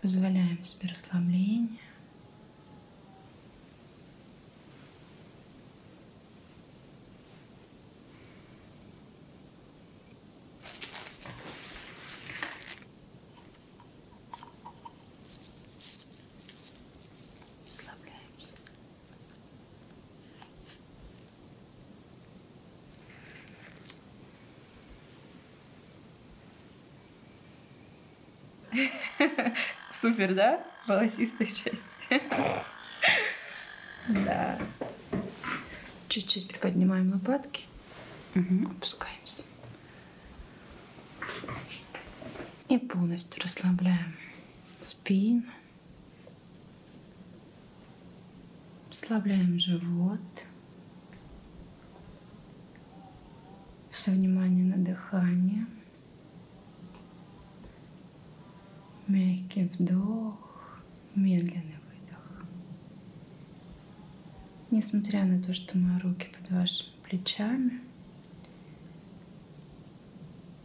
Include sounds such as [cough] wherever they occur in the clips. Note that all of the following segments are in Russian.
Позволяем себе расслабление. Расслабляемся. [laughs] Супер, да? Волосистая часть. [laughs] Да. Чуть-чуть приподнимаем лопатки. Угу. Опускаемся. И полностью расслабляем спину. Расслабляем живот. Все внимание на дыхание. Мягкий вдох, медленный выдох. Несмотря на то, что мои руки под вашими плечами,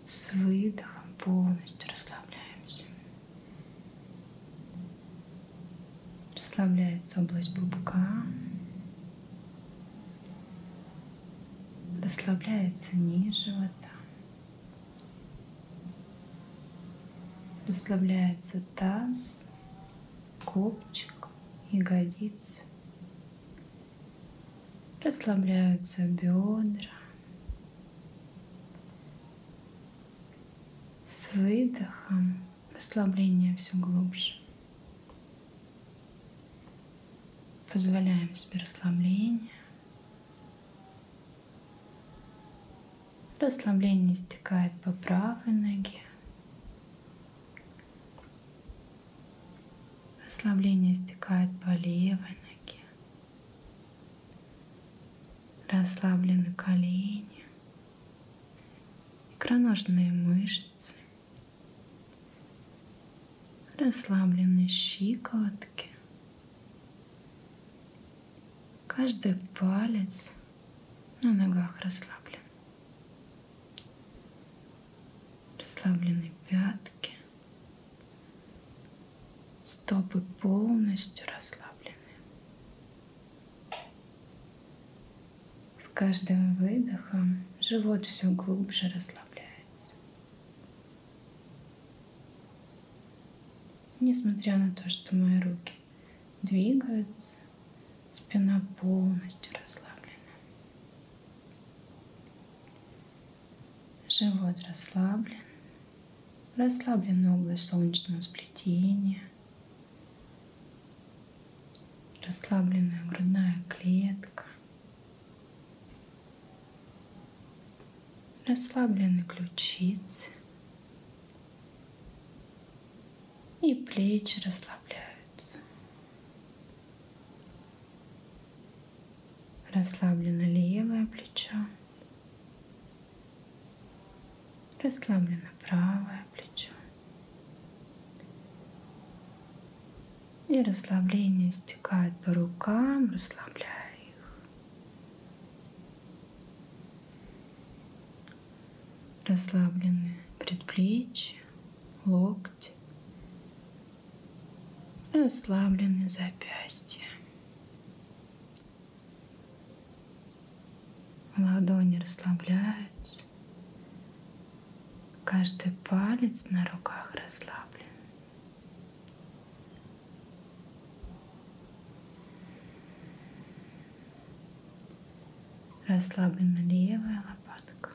с выдохом полностью расслабляемся. Расслабляется область пупка. Расслабляется низ живота. Расслабляется таз, копчик, ягодицы. Расслабляются бедра. С выдохом расслабление все глубже. Позволяем себе расслабление. Расслабление стекает по правой ноге. Расслабление стекает по левой ноге. Расслаблены колени, икроножные мышцы мышц, расслаблены щиколотки, каждый палец на ногах расслаблен, расслаблены пятки, стопы полностью расслаблены. С каждым выдохом живот все глубже расслабляется. Несмотря на то, что мои руки двигаются, спина полностью расслаблена. Живот расслаблен, расслаблена область солнечного сплетения – расслабленная грудная клетка, расслаблены ключицы и плечи расслабляются. Расслаблено левое плечо, расслаблено правое плечо. И расслабление стекает по рукам, расслабляя их. Расслаблены предплечья, локти, расслаблены запястья. Ладони расслабляются расслабились. Каждый палец на руках расслаблен. Расслаблена левая лопатка.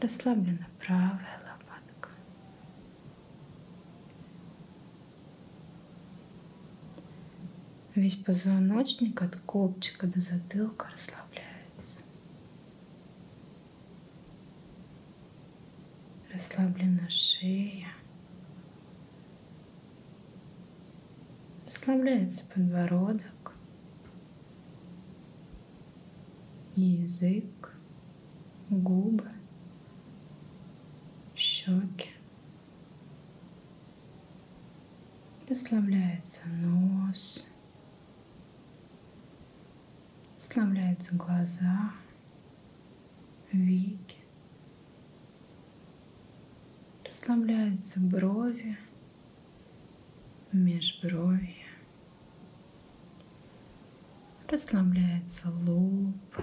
Расслаблена правая лопатка. Весь позвоночник от копчика до затылка расслабляется. Расслаблена шея. Расслабляется подбородок. Язык, губы, щеки. Расслабляется нос, расслабляются глаза, веки, расслабляются брови, межброви, расслабляется лоб,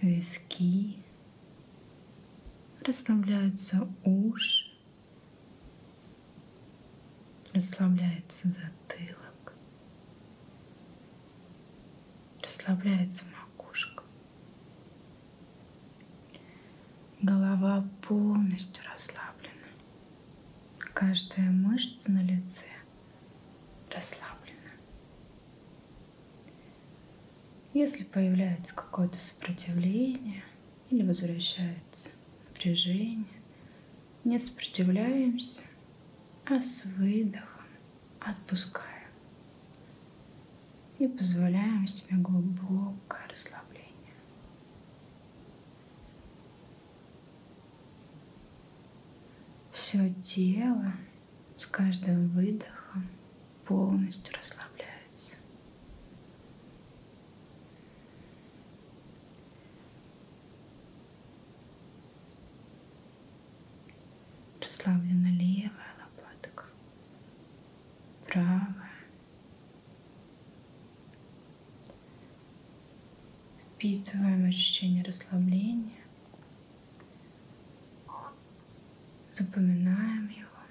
виски расслабляются уши, расслабляется затылок, расслабляется макушка. Голова полностью расслаблена. Каждая мышца на лице расслаблена. Если появляется какое-то сопротивление или возвращается напряжение, не сопротивляемся, а с выдохом отпускаем и позволяем себе глубокое расслабление. Все тело с каждым выдохом полностью расслабляется. Расслаблена левая лопатка, правая. Впитываем ощущение расслабления. Запоминаем его.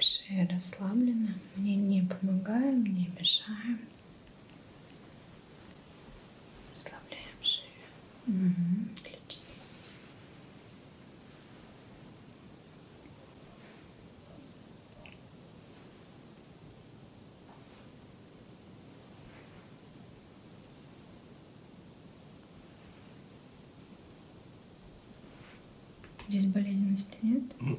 шея расслаблена, мне не помогаем, не мешаем. Расслабляем шею. Угу. Отлично. Здесь болезненности нет? Ну.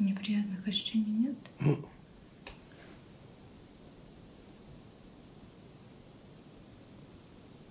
Неприятных ощущений нет?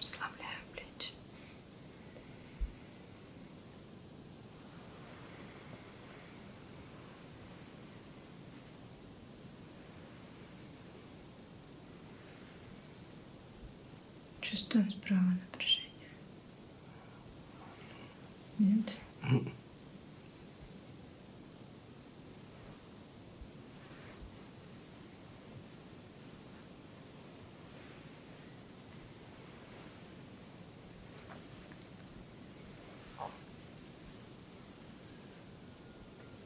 Расслабляю плечи. Чувствуем справа напряжение? Нет?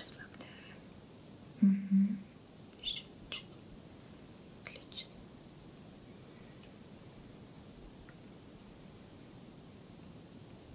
Just love there. Mm-hmm.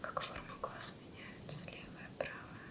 Как форма глаз меняется, левая, правая.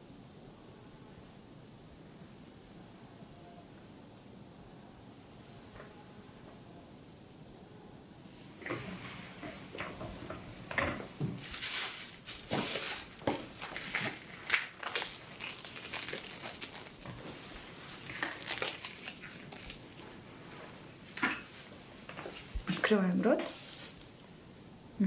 Открываем рот. Угу.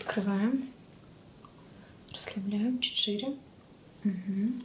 Открываем. Расслабляем чуть шире. Угу.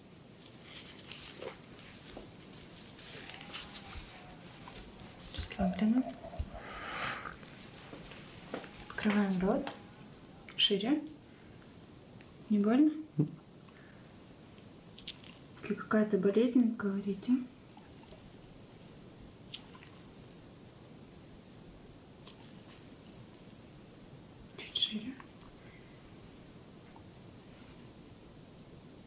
Расслабленно. Открываем рот. Шире. Не больно? Если какая-то болезнь, говорите. Чуть шире.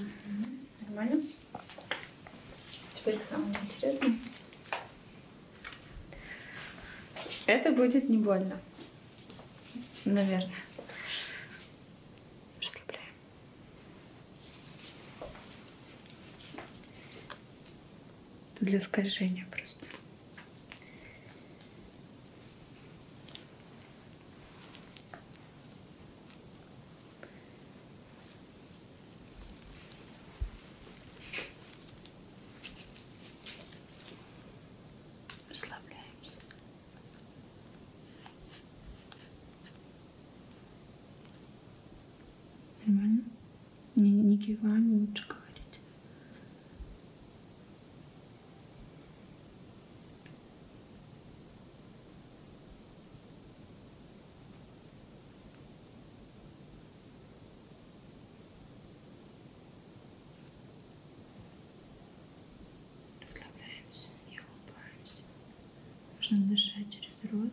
Угу. Нормально? Теперь к самому интересному. Это будет не больно. Наверное. Расслабляем. Для скольжения просто. Расслабляемся. Нормально? Не, не киваем, лучше говорить расслабляемся, не улыбаемся. Нужно дышать через рот.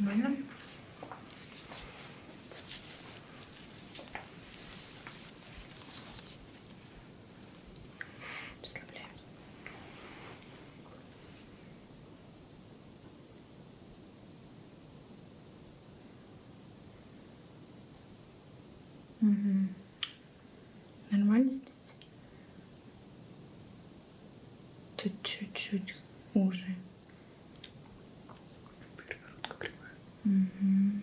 Нормально? Расслабляемся. Угу. Нормально здесь? Тут чуть-чуть уже. Перегородка кривая. Угу.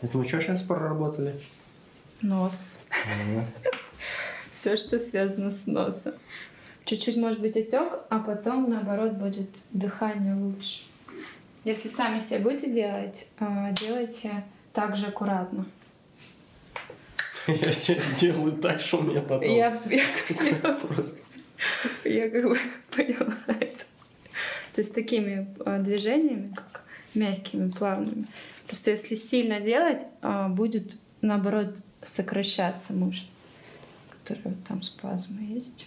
Это мы что сейчас проработали? Нос. [laughs] Все, что связано с носом. Чуть-чуть может быть отек, а потом, наоборот, будет дыхание лучше. Если сами себе будете делать, а, делайте так же аккуратно. [laughs] Я себе делаю так, что у меня потом... Я, я, [laughs] просто... я как бы поняла это. То есть такими а, движениями, как так, мягкими, плавными. Просто если сильно делать, а, будет, наоборот, сокращаться мышцы, которые там спазмы есть.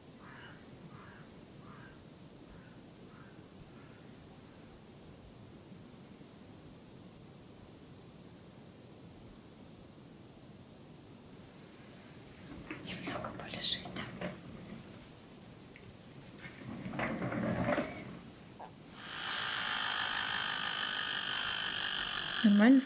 Немного полежите. Нормально?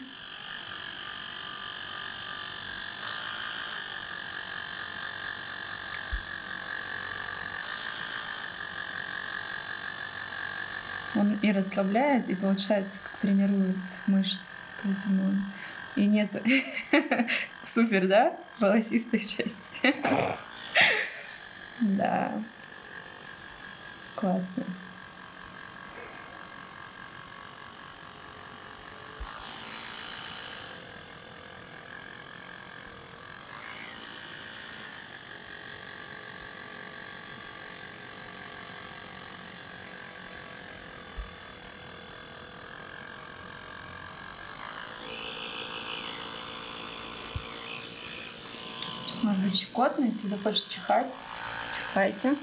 Он и расслабляет, и получается, как тренирует мышцы. Поэтому и нету [laughs] супер, да, волосистой части. [laughs] да. Классно. Может быть щекотно, если захочешь чихать, чихайте.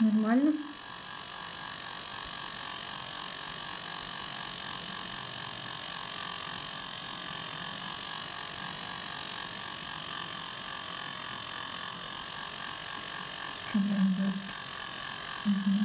Нормально. Скандал Угу.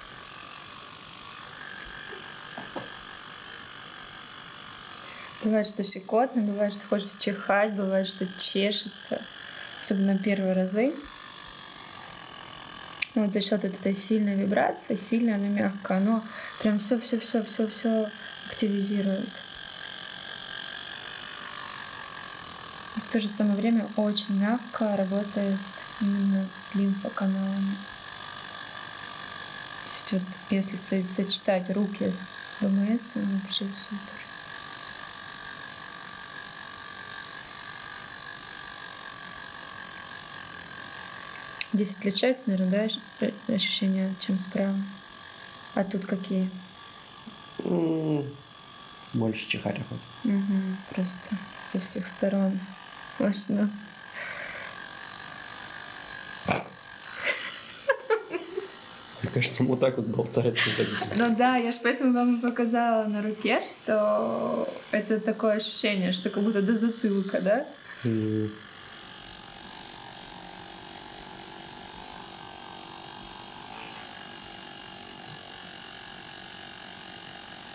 Бывает, что щекотно, бывает, что хочется чихать, бывает, что чешется, особенно первые разы. Но ну, вот за счет этой сильной вибрации, сильно она мягкая, оно прям все, все, все, все, все активизирует. И в то же самое время очень мягко работает именно с лимфоканалами. То есть вот если сочетать руки с ВМС, ну, вообще супер. Здесь отличается, наверное, да, э, ощущения, чем справа? А тут какие? Больше чихать охота. Угу, просто со всех сторон ваш нос. Мне кажется, вот так вот болтается. Ну да, я же поэтому вам показала на руке, что это такое ощущение, что как будто до затылка, да? Mm.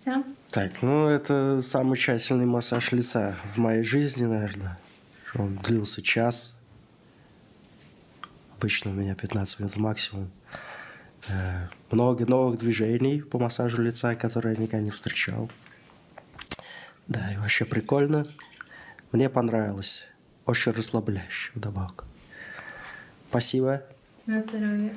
лица. Так, ну это самый тщательный массаж лица в моей жизни, наверное. Он длился час. Обычно у меня 15 минут максимум. Э, много новых движений по массажу лица, которые я никогда не встречал. Да, и вообще прикольно. Мне понравилось. Очень расслабляюще вдобавок. Спасибо. На здоровье.